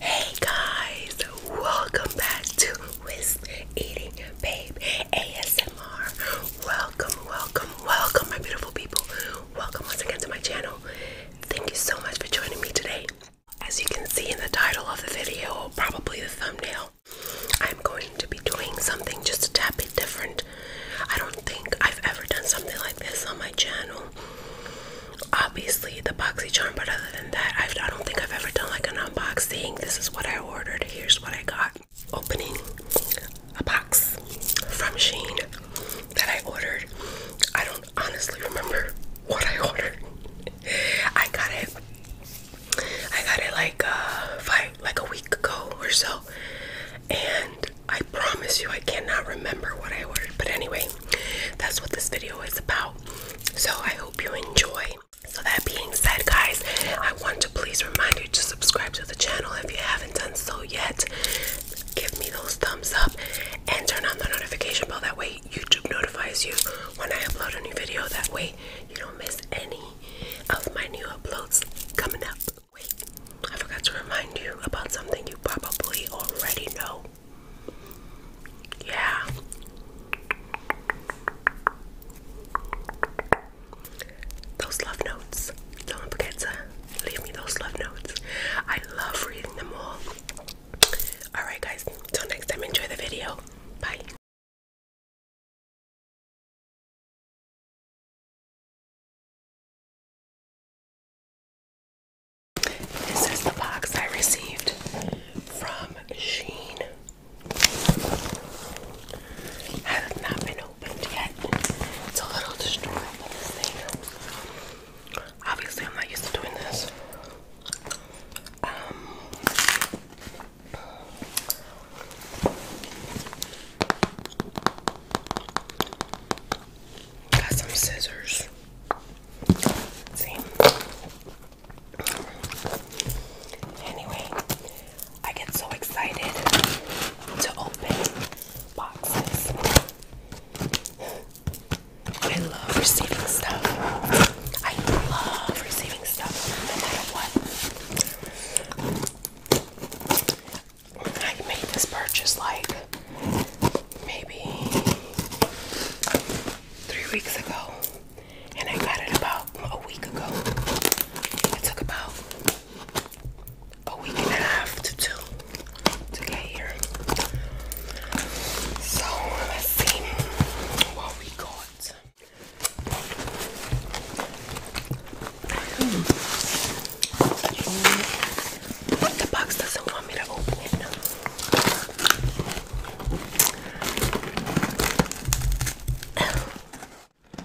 Hey guys, welcome back to Wisp Eating Babe ASMR. Welcome, welcome, welcome, my beautiful people. Welcome once again to my channel. Thank you so much for joining me today. As you can see in the title of the video, or probably the thumbnail, I'm going to be doing something just a tad bit different. I don't think I've ever done something like this on my channel obviously the boxy charm. but other than that, I've, I don't think I've ever done like an unboxing. This is what I ordered, here's what I got. Opening a box from Sheen that I ordered. I don't honestly remember what I ordered. I got it. I got it like uh, five, like a week ago or so, and I promise you I cannot remember what I ordered. But anyway, that's what this video is about. So I hope you enjoy. So that being said, guys, I want to please remind you to subscribe to the channel if you haven't done so yet. Give me those thumbs up and turn on the notification bell. That way, YouTube notifies you when I upload a new video. That way, you don't miss any of my new uploads coming up. Wait, I forgot to remind you about something you probably already know. Yeah. Those love notes. Don't forget to leave me those love notes. I love reading them all. Alright, guys, till next time, enjoy the video. Bye. This is the box I received from Sheen. Has not been opened yet. It's a little destroyed, Obviously, I'm not used to doing this. Um, got some scissors see. Anyway, I get so excited to open boxes. I love receiving stuff. I love receiving stuff no matter what. I made this purchase like maybe three weeks ago, and I got it about a week ago. It took about a week and a half to two to get here. So let's see what we got. Hmm the box doesn't want me to open it.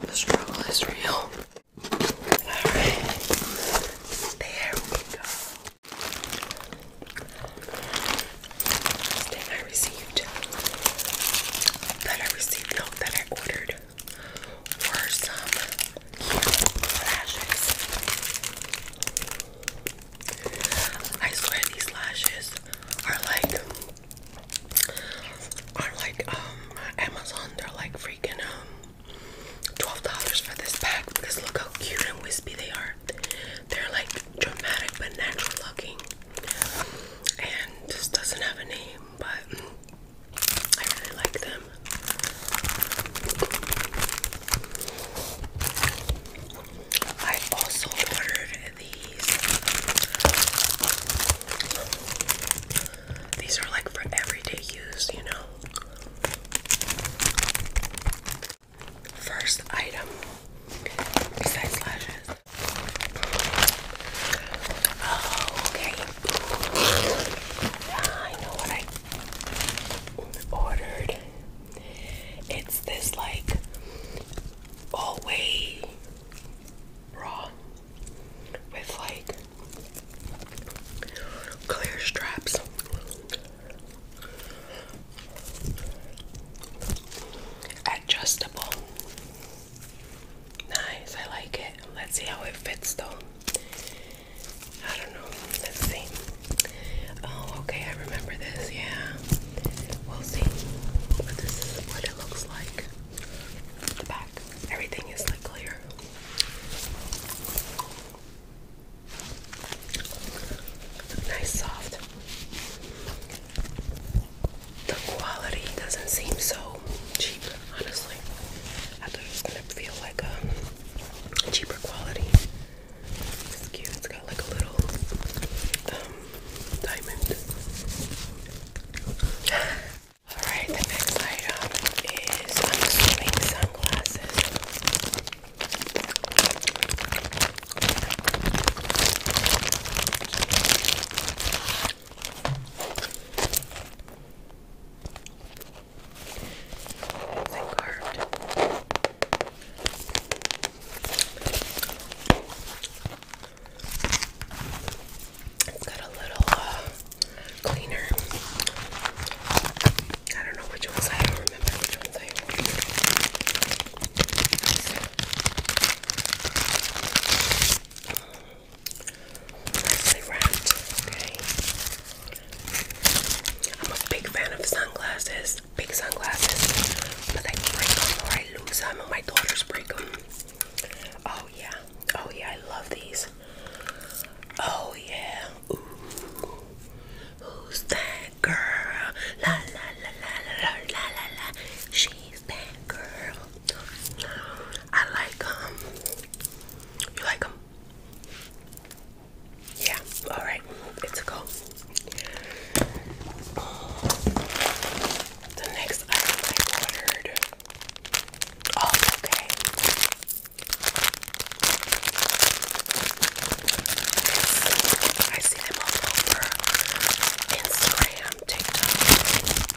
the struggle is real. Alright. There we go. Thing I received. That I received, no, that I ordered were some lashes. I swear these lashes are like are like um Amazon. They're like freaking um twelve dollars for this pack because look how cute and wispy they are. They're like dramatic but natural looking, and this doesn't have a name, but I really like them. I also ordered these. These are like for everyday use, you know. First item besides Oh, okay. I know what I ordered. It's this like all way bra with like clear straps. Adjustable. Nice, I like it. Let's see how it fits though. I don't know. Let's see. Oh, okay. I remember this. Yeah. We'll see. But this is what it looks like. The back. Everything is like clear. Nice soft. The quality doesn't seem so cheap, honestly. I thought it was gonna feel like a cheaper quality. It's cute, it's got like a little um, diamond. Alright, the next item is i sunglasses. They carved. It's got a little uh, cleaner. I don't know which ones I don't remember which ones I ordered. Um, Nicely wrapped, okay. I'm a big fan of sunglasses, big sunglasses, but I break them or I lose them, and my daughters break them. Oh, yeah, oh, yeah, I love these. Oh, yeah, ooh, who's that girl? La la la la la la la la, she's that girl. I like, um, you like them? Yeah, all right, it's a go. The next item I ordered. Oh, okay. I see them all over Instagram, TikTok.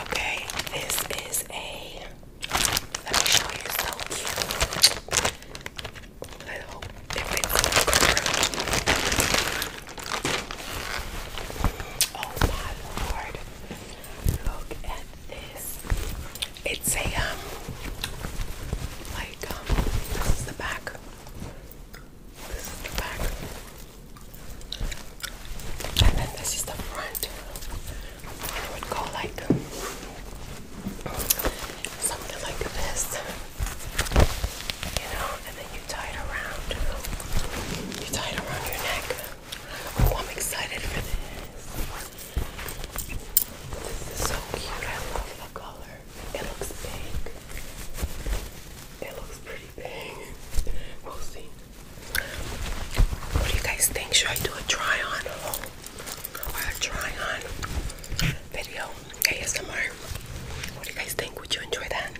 Okay, this is a. Let me show you. So cute. Oh my lord! Look at this. It's a um, like um, this is the back. This is the back. And then this is the front. It would go like something like this. You know, and then you tie it around. You tie it around your neck. Oh, I'm excited for this. This is so cute. I love the color. It looks big. It looks pretty. We'll see. What do you guys think? Should I do a try on or a try on video? ASMR. What do you guys think? Would you enjoy that?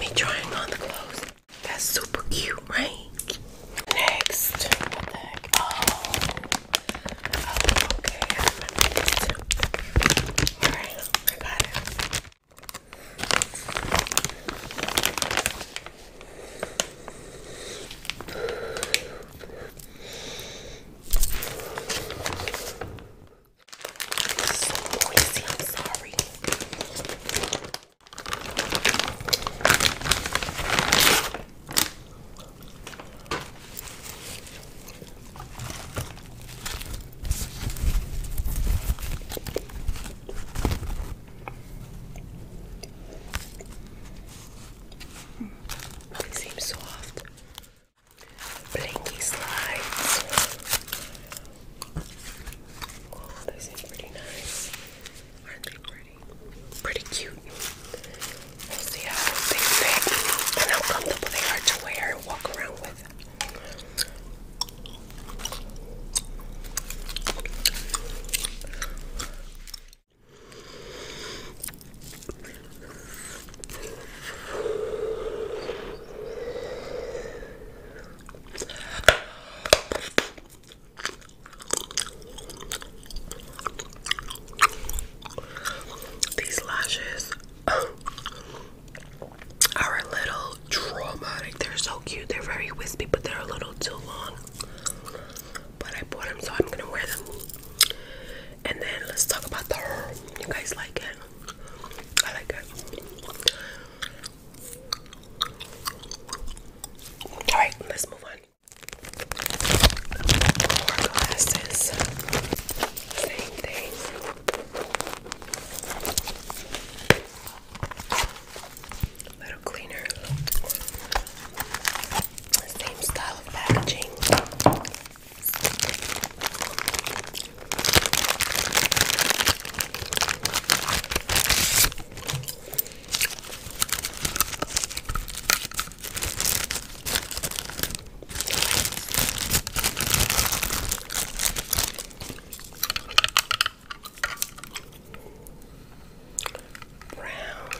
Me trying on the clothes. That's super cute, right? Next. What the heck? Oh. oh okay. Alright, I got it. So noisy, I'm sorry. They seem soft. Blinky slides. Oh, they seem pretty nice. Aren't they pretty? Pretty cute. We'll see how they fit and how comfortable they are to wear and walk around with. These lashes are a little traumatic. They're so cute. They're very wispy, but they're a little too long. But I bought them, so I'm gonna wear them. And then let's talk about the You guys like it? I like it. All right, let's move on. glasses. Same thing little cleaner. Same style of packaging. Brown.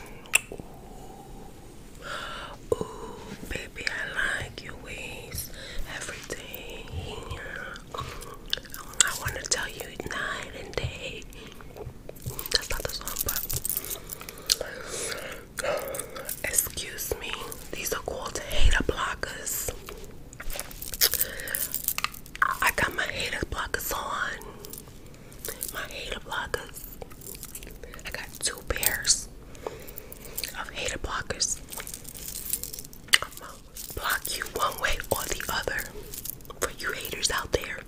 Ooh. Ooh, baby, I like your ways. Everything. I want to tell you night and day. That's not the song, but. Excuse me. These are called hater blockers. I got my hater blockers on. My hater blockers. I got two pairs of hater blockers. I'ma block you one way or the other for you haters out there.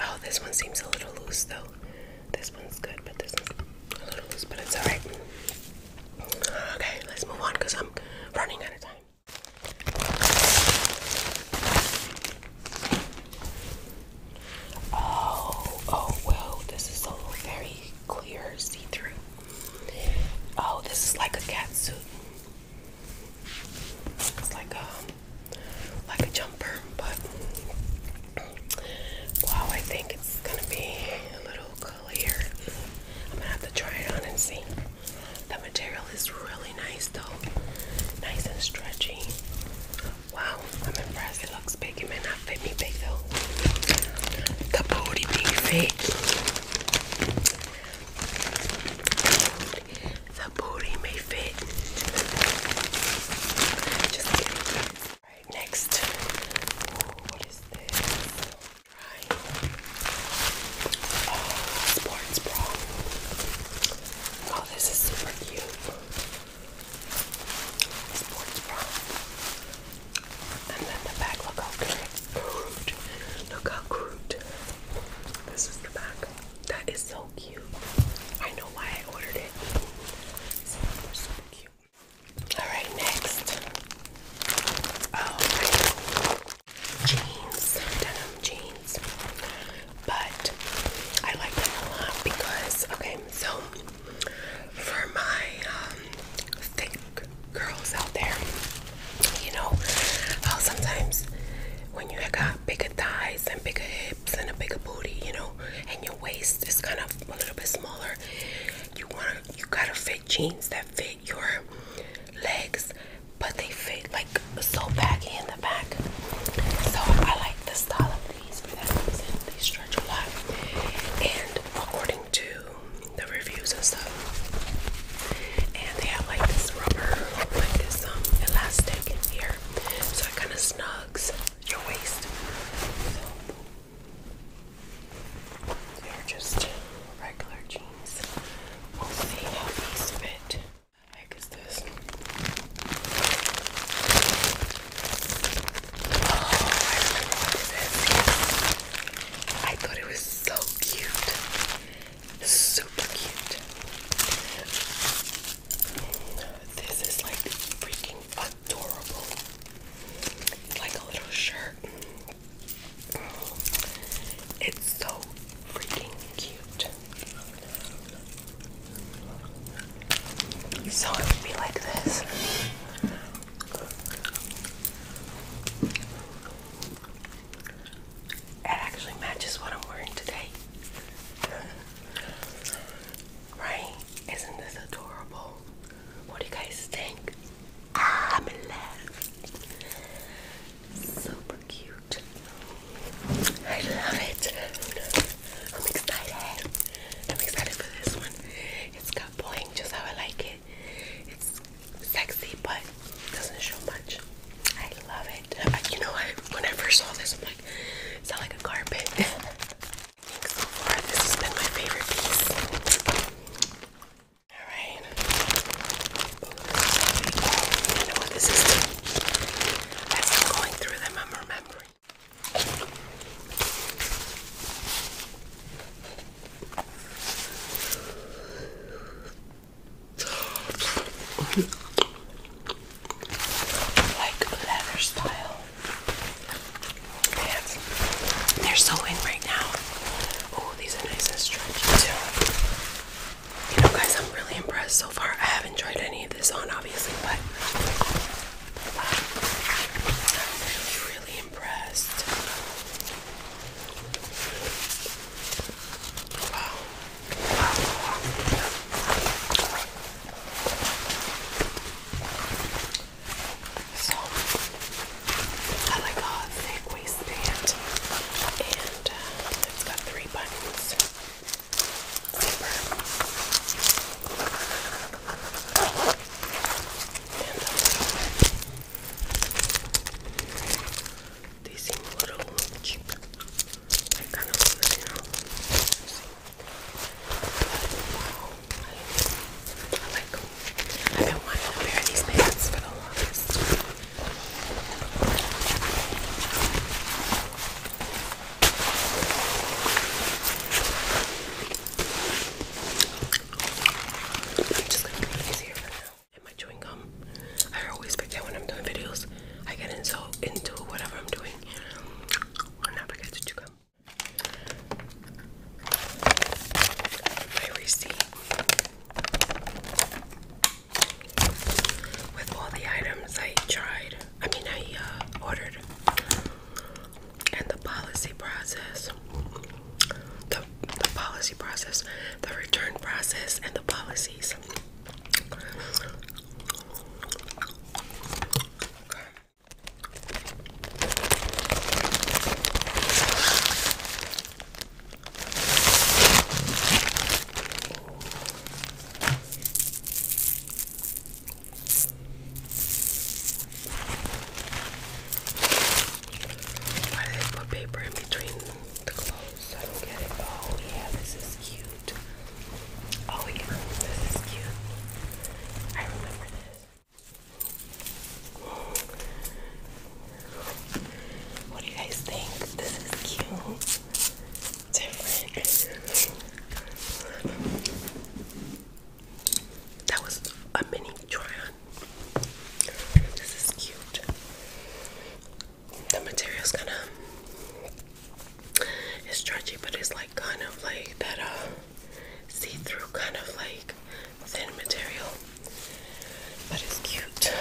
oh, this one seems a little loose though. This one's good, but this one's a little loose, but it's alright. Okay, let's move on because I'm running out of time. Oh, oh, well, this is so very clear, see through. Oh, this is like a cat suit. It's like um like a jumper, but wow, I think it's gonna be a little clear. I'm gonna have to try it on and see. The material is really nice though, nice and stretchy. Wow, I'm impressed. It looks big. It may not fit me big though. The booty big fit. The booty may fit next. what is this? Right. Oh, sports bra. Oh, this is super cute. Sports bra. And then the back, look how cute. Look how cute. This is the back. That is so cute. I know why I ordered it. Some cute. Alright, next. Oh, jeans, denim jeans. But I like them a lot because, okay, so for my um, thick girls out there, you know, sometimes when you got bigger thighs and bigger hips and a bigger booty, you know, and your waist is kind of a little bit smaller you want to you gotta fit jeans that fit your legs but they fit like so baggy in the back so i like the style of these for that reason they stretch a lot and according to the reviews and stuff and they have like this rubber like this um elastic in here so it kind of snug your waist. they're just regular jeans. We'll see how these fit. The heck is this? Oh, I thought it was so cute. Super cute. This is like freaking adorable. like a little shirt. It's so freaking cute. So it would be like this. It actually matches what I'm wearing today. Right? Isn't this adorable? What do you guys think? I'm in love. Super cute. I love it. I'm excited. I'm excited for this one. It's got bling just how I like it. It's sexy but doesn't show much. I love but I, you know, I, when I first saw this, I'm like, it's not like a carpet. I think so far this has been my favorite piece. All right. Oh, you know what this is? As I'm going through them, I'm remembering like leather style pants. They're so in right now. Oh, these are nice and stretchy too. You know, guys, I'm really impressed so far. I haven't tried any of this on, obviously, but I'm really, really impressed. Wow. So I like a thick waistband and uh, it's got three buttons. They seem a little cheap. I kind of want it, know. I, I like them. I've been wanting a pair these pants for the longest. just gonna make it easier for now and my chewing gum. I always forget when I'm doing videos. I get into, into whatever I'm doing. And I forget to chew gum. My receipt with all the items I tried. I mean, I uh, ordered. And the policy process, the, the policy process, the return process, and the policies. Okay. Why did I put paper in between the clothes? So I don't get it. Oh yeah, this is cute. Oh yeah, this is cute. I remember this. What do you guys think? This is cute. Different. That was a mini try This is cute the material's kind of it's stretchy but it's like kind of like that uh see-through kind of like thin material but it's cute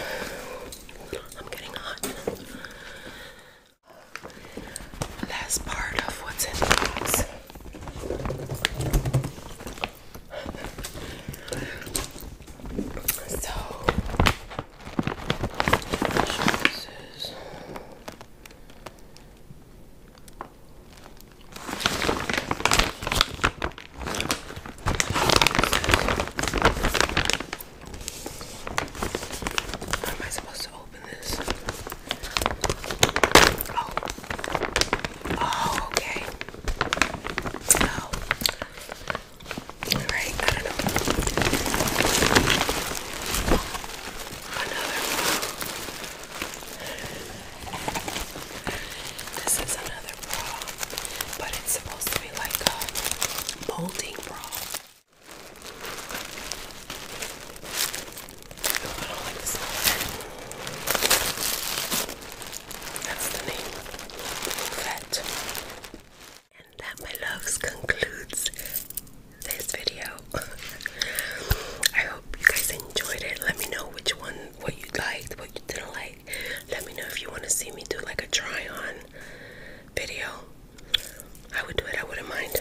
i'm getting hot last part of what's in the box so Jesus. How am I supposed to open this? Oh. Oh, okay. Oh. All right. Another This is another bra, but it's supposed to be like a molding bra. That's the name. Vet. And that, my loves, concludes this video. I hope you guys enjoyed it. Let me know which one, what you liked, what you didn't like. Let me know if you want to see me do like a try on video. I would do it, I wouldn't mind.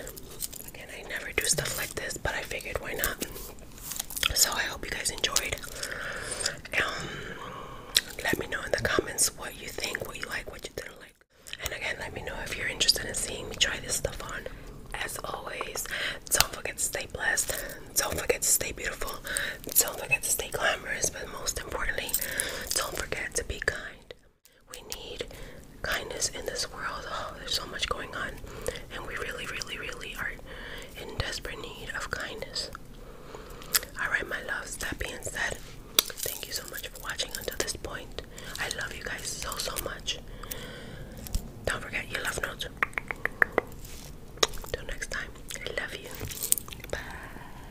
Again, I never do stuff like this, but I figured why not. So I hope you guys enjoyed. Um, let me know in the comments what you think, what you like, what you didn't like. And again, let me know if you're interested in seeing me try this stuff on. As always, don't forget to stay blessed. Don't forget to stay beautiful. Don't forget to stay glamorous. But most importantly, don't forget to be kind. We need kindness in this world. Oh, there's so much going on. And we really, really, really are in desperate need of kindness. Alright, my loves, that being said, thank you so much for watching until this point. I love you guys so, so much. Don't forget your love notes. Till next time, I love you. Bye.